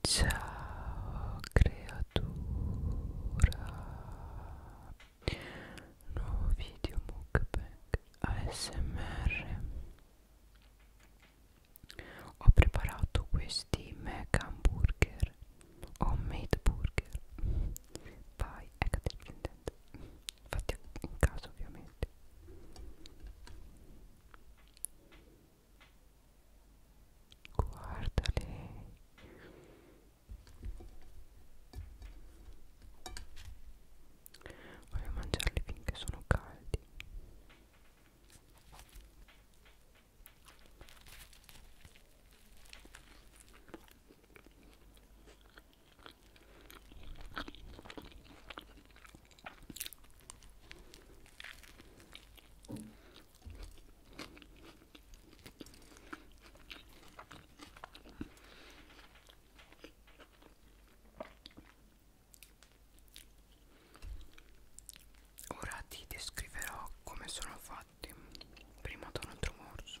Ciao creatura Nuovo video mukbang ASMR Ho preparato questi mega hamburger Homemade burger Pie egg dipendente Fatti in casa ovviamente guardali voglio mangiarli finché sono caldi Ora ti descriverò come sono fatti. Prima da un altro morso.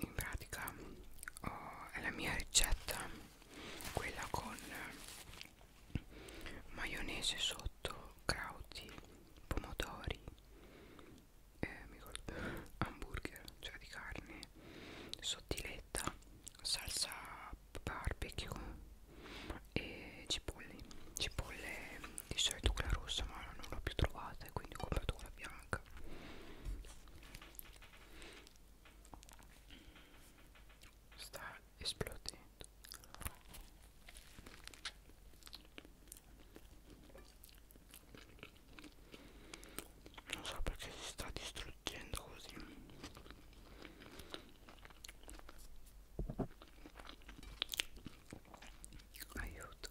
in pratica oh, è la mia ricetta quella con maionese sotto crauti pomodori eh, mi ricordo, hamburger cioè di carne sottile polpetta salsa barbecue e cipolle cipolle di solito quella rossa ma non l'ho più trovata e quindi ho comprato quella bianca sta esplodendo non so perché si sta distruggendo così aiuto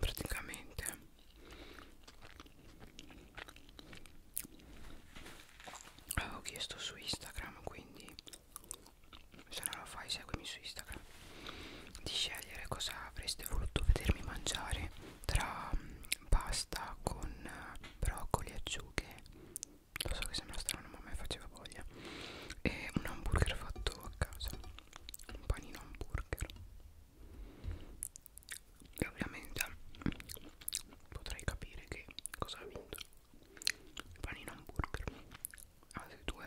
praticamente avevo chiesto su Instagram quindi se non lo fai seguimi su Instagram di scegliere cosa avreste voluto vedermi mangiare tra mm, pasta con eh, broccoli e acciughe lo so che sembra strano ma a me faceva voglia e un hamburger fatto a casa un panino hamburger e ovviamente mm, potrei capire che cosa ha vinto il panino hamburger altri due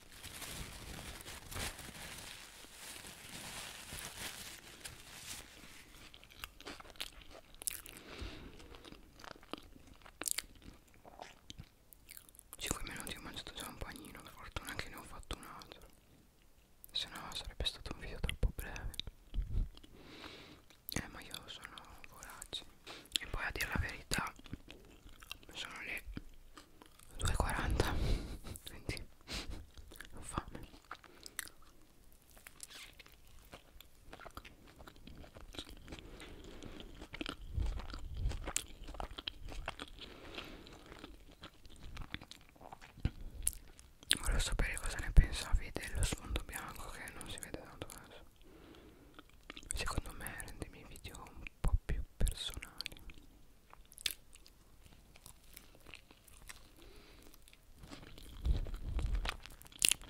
5 minuti ho mangiato già un panino, per fortuna che ne ho fatto un altro, se no sarebbe stato un video troppo breve. Eh ma io sono vorace e poi a dire la verità sono le 2,40 quindi ho fame Volevo sapere cosa ne pensavi dello sfondo bianco che non si vede tanto adesso Secondo me rende i miei video un po' più personali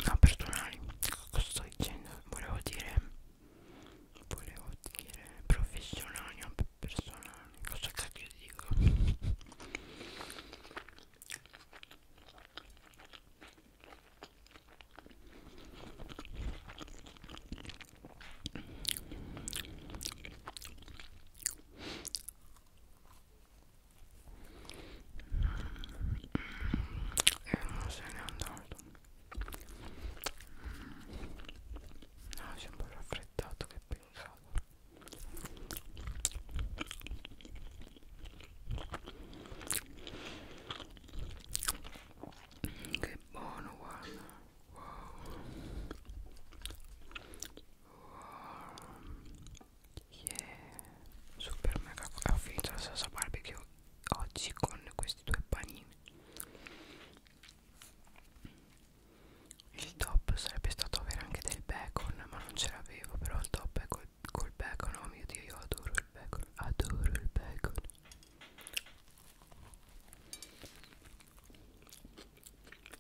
Ah, perdonami, cosa sto dicendo? Volevo dire, volevo dire professionali o personali, cosa cacchio dico? e non se n'è andato no si è un po' raffreddato che pensato che buono guarda Yeah, super mega ho finito la salsa barbecue oggi con questi due panini il top sarebbe stato avere anche del bacon ma non ce l'avevo però il top è col, col bacon oh mio dio io adoro il bacon adoro il bacon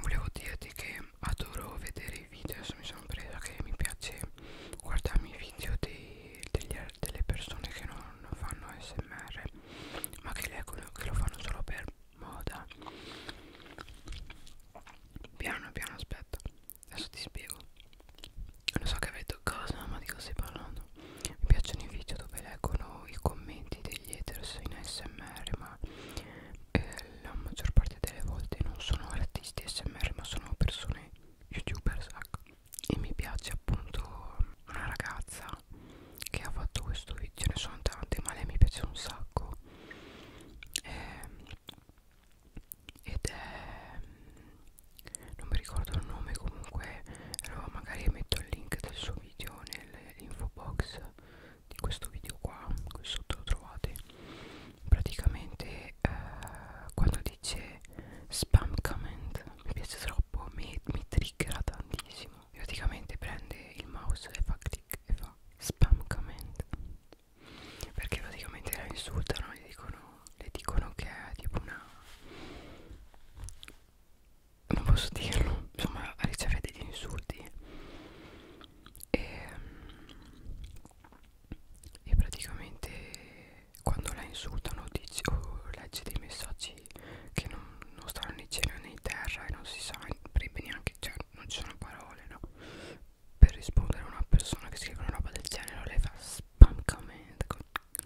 Volevo dirti che adoro vedere i video, adesso mi sono presa che mi piace guardarmi i video dei, degli, delle persone che non fanno SMR ma che, leggono, che lo fanno solo per moda piano piano aspetta adesso ti spiego non so che avrei detto cosa ma di cosa stai parlando mi piacciono i video dove leggono i commenti degli haters in ASMR ma eh, la maggior parte delle volte non sono artisti ASMR ma sono persone youtubers ecco. e mi piace appunto una ragazza che ha fatto questo video ce ne sono tante ma lei mi piace un sacco eh, ed è mm, non mi ricordo il nome comunque allora magari metto il link del suo video nell'info box di questo video qua qui sotto lo trovate praticamente eh, quando dice spam comment mi piace troppo mi, mi triggera tantissimo praticamente prende il mouse e fa click e fa spam comment perché praticamente la insultano le dicono, le dicono che è tipo una non posso dirlo insomma riceve degli insulti e, e praticamente quando la insultano dici, o leggi dei messaggi che non, non stanno né in cielo né in terra e non si sa neanche cioè non ci sono parole no per rispondere a una persona che scrive una roba del genere lei fa spam comment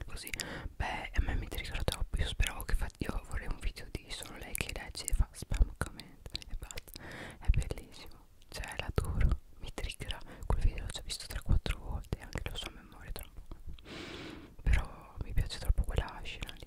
così beh a me mi triggerà troppo io speravo che fa io vorrei un video di solo lei che legge e fa spam comment e basta è bellissimo cioè l'adoro mi triggerà quel video l'ho già visto 3-4 volte anche la sua memoria tra un po' però mi piace troppo quella scena lì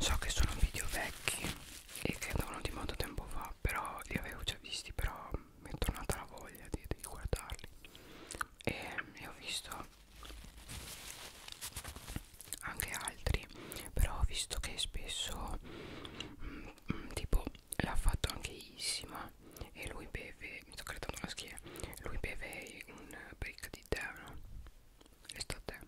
So che sono video vecchi e che andavano di molto tempo fa, però li avevo già visti, però mi è tornata la voglia di, di guardarli. E ne ho visto anche altri, però ho visto che spesso mh, mm, mh, mm, tipo l'ha fatto anche Isima e lui beve, mi sto creando la schiena, lui beve un break anche di te no? resta a te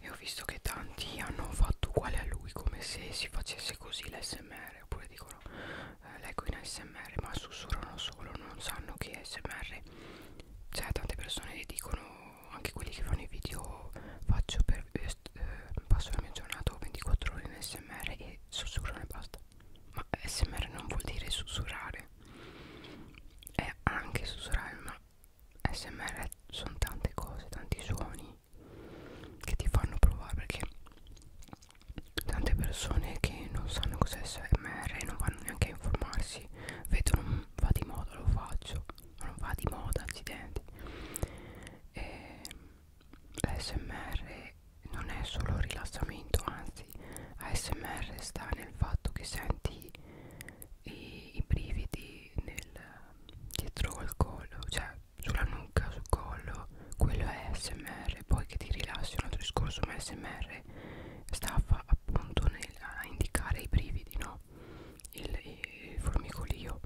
e ho visto che tanti hanno fatto uguale a lui come se si facesse così l'SMR oppure dicono eh, leggo in ASMR ma sussurrano solo non sanno che ASMR cioè tante persone dicono anche quelli che fanno i video faccio per eh, eh passo la mia giornata 24 ore in ASMR e sussurrano e basta ma smr non vuol dire sussurrare è anche sussurrare ma smr sono tante cose tanti suoni che ti fanno provare perché tante persone che non sanno cos'è smr e non vanno neanche a informarsi vedono va di moda lo faccio ma non va di moda accidenti e l'SMR non è solo rilassamento, anzi ASMR sta nel fatto che senti i, i brividi nel, dietro al collo, cioè sulla nuca, sul collo, quello è ASMR, poi che ti rilassi un altro discorso, ma ASMR sta appunto nel, a indicare i brividi, no? Il, il formicolio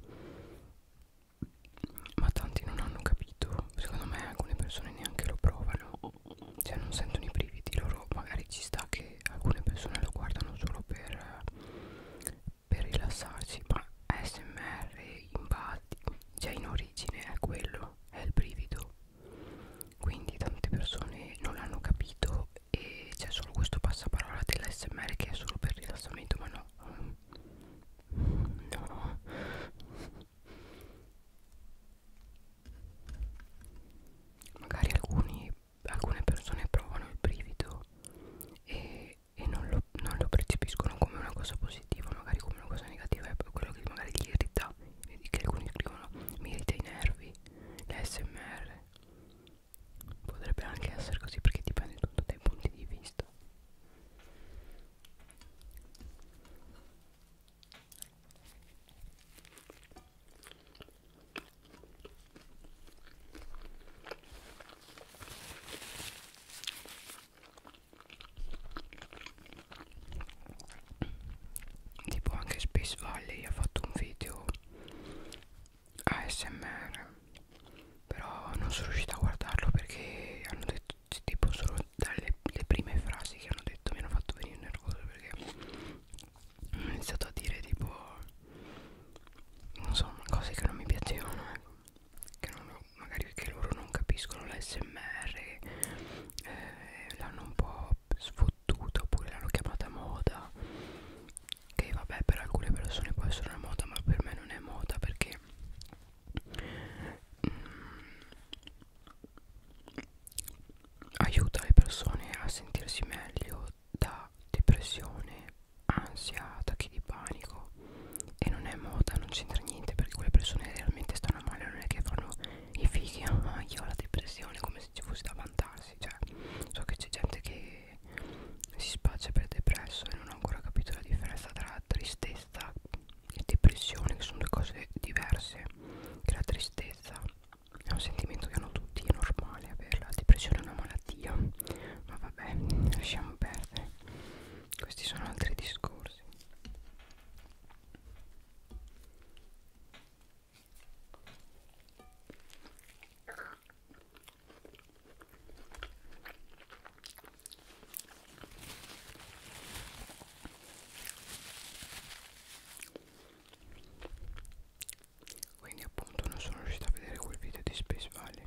ma tanti non hanno capito secondo me alcune persone neanche lo provano cioè non sentono i brividi loro magari ci sta che alcune persone lo guardano solo per per rilassarsi ma smr in base cioè in origine è quello è il brivido quindi tante persone non l'hanno capito e c'è solo questo passaparola dell'SMR che è solo per rilassamento ma no no magari alcuni, alcune persone provano il brivido e, e non, lo, non lo percepiscono come una cosa positiva, magari come una cosa negativa, è quello che magari gli irrita, che alcuni scrivono mi irrita i nervi, l'SMR potrebbe anche essere così perché dipende tutto dai punti di vista tipo anche Space Valley ha fatto un video ASMR però non sono riuscita a guardarlo perché hanno detto tipo sono dalle le prime frasi che hanno detto mi hanno fatto venire nervoso perché hanno iniziato a dire tipo non so cose che non mi piacevano ecco che non ho, magari che loro non capiscono l'SMR eh, l'hanno un po' sfottuta oppure l'hanno chiamata moda che vabbè per alcune persone può essere una moda ma per me non è moda perché mm, aiuta le persone a sentirsi meglio da depressione, ansia, attacchi di panico e non è moda, non c'entra niente perché quelle persone realmente stanno male, non è che fanno i fighi, ah, io ho la depressione come se ci fosse da vantarsi, cioè so che c'è gente che si spaccia per depresso e non ho ancora capito la differenza tra tristezza e depressione che sono due cose diverse che la tristezza è un sentimento che hanno tutti è normale averla la depressione è una malattia ma vabbè lasciamo perdere questi sono altri discorsi quindi appunto non sono riuscito a vedere quel video di Space Valley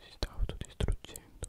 Si sta autodistruggendo.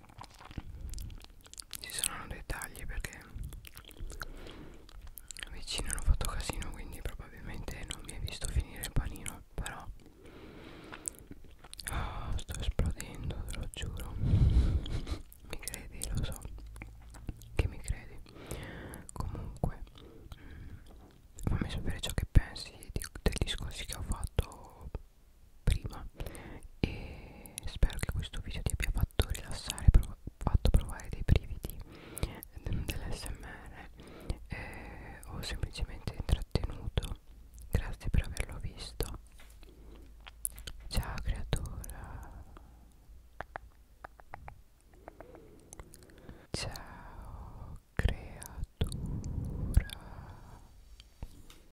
ci saranno dei tagli perché vicino hanno fatto casino quindi probabilmente non mi hai visto finire il panino però oh, sto esplodendo te lo giuro mi credi lo so che mi credi comunque mm, fammi sapere ciò che pensi di, dei discorsi che ho fatto prima e spero che questo video ti abbia fatto rilassare prov fatto provare dei brividi mm, dell'SMR eh, o semplicemente intrattenuto grazie per averlo visto ciao creatura ciao creatura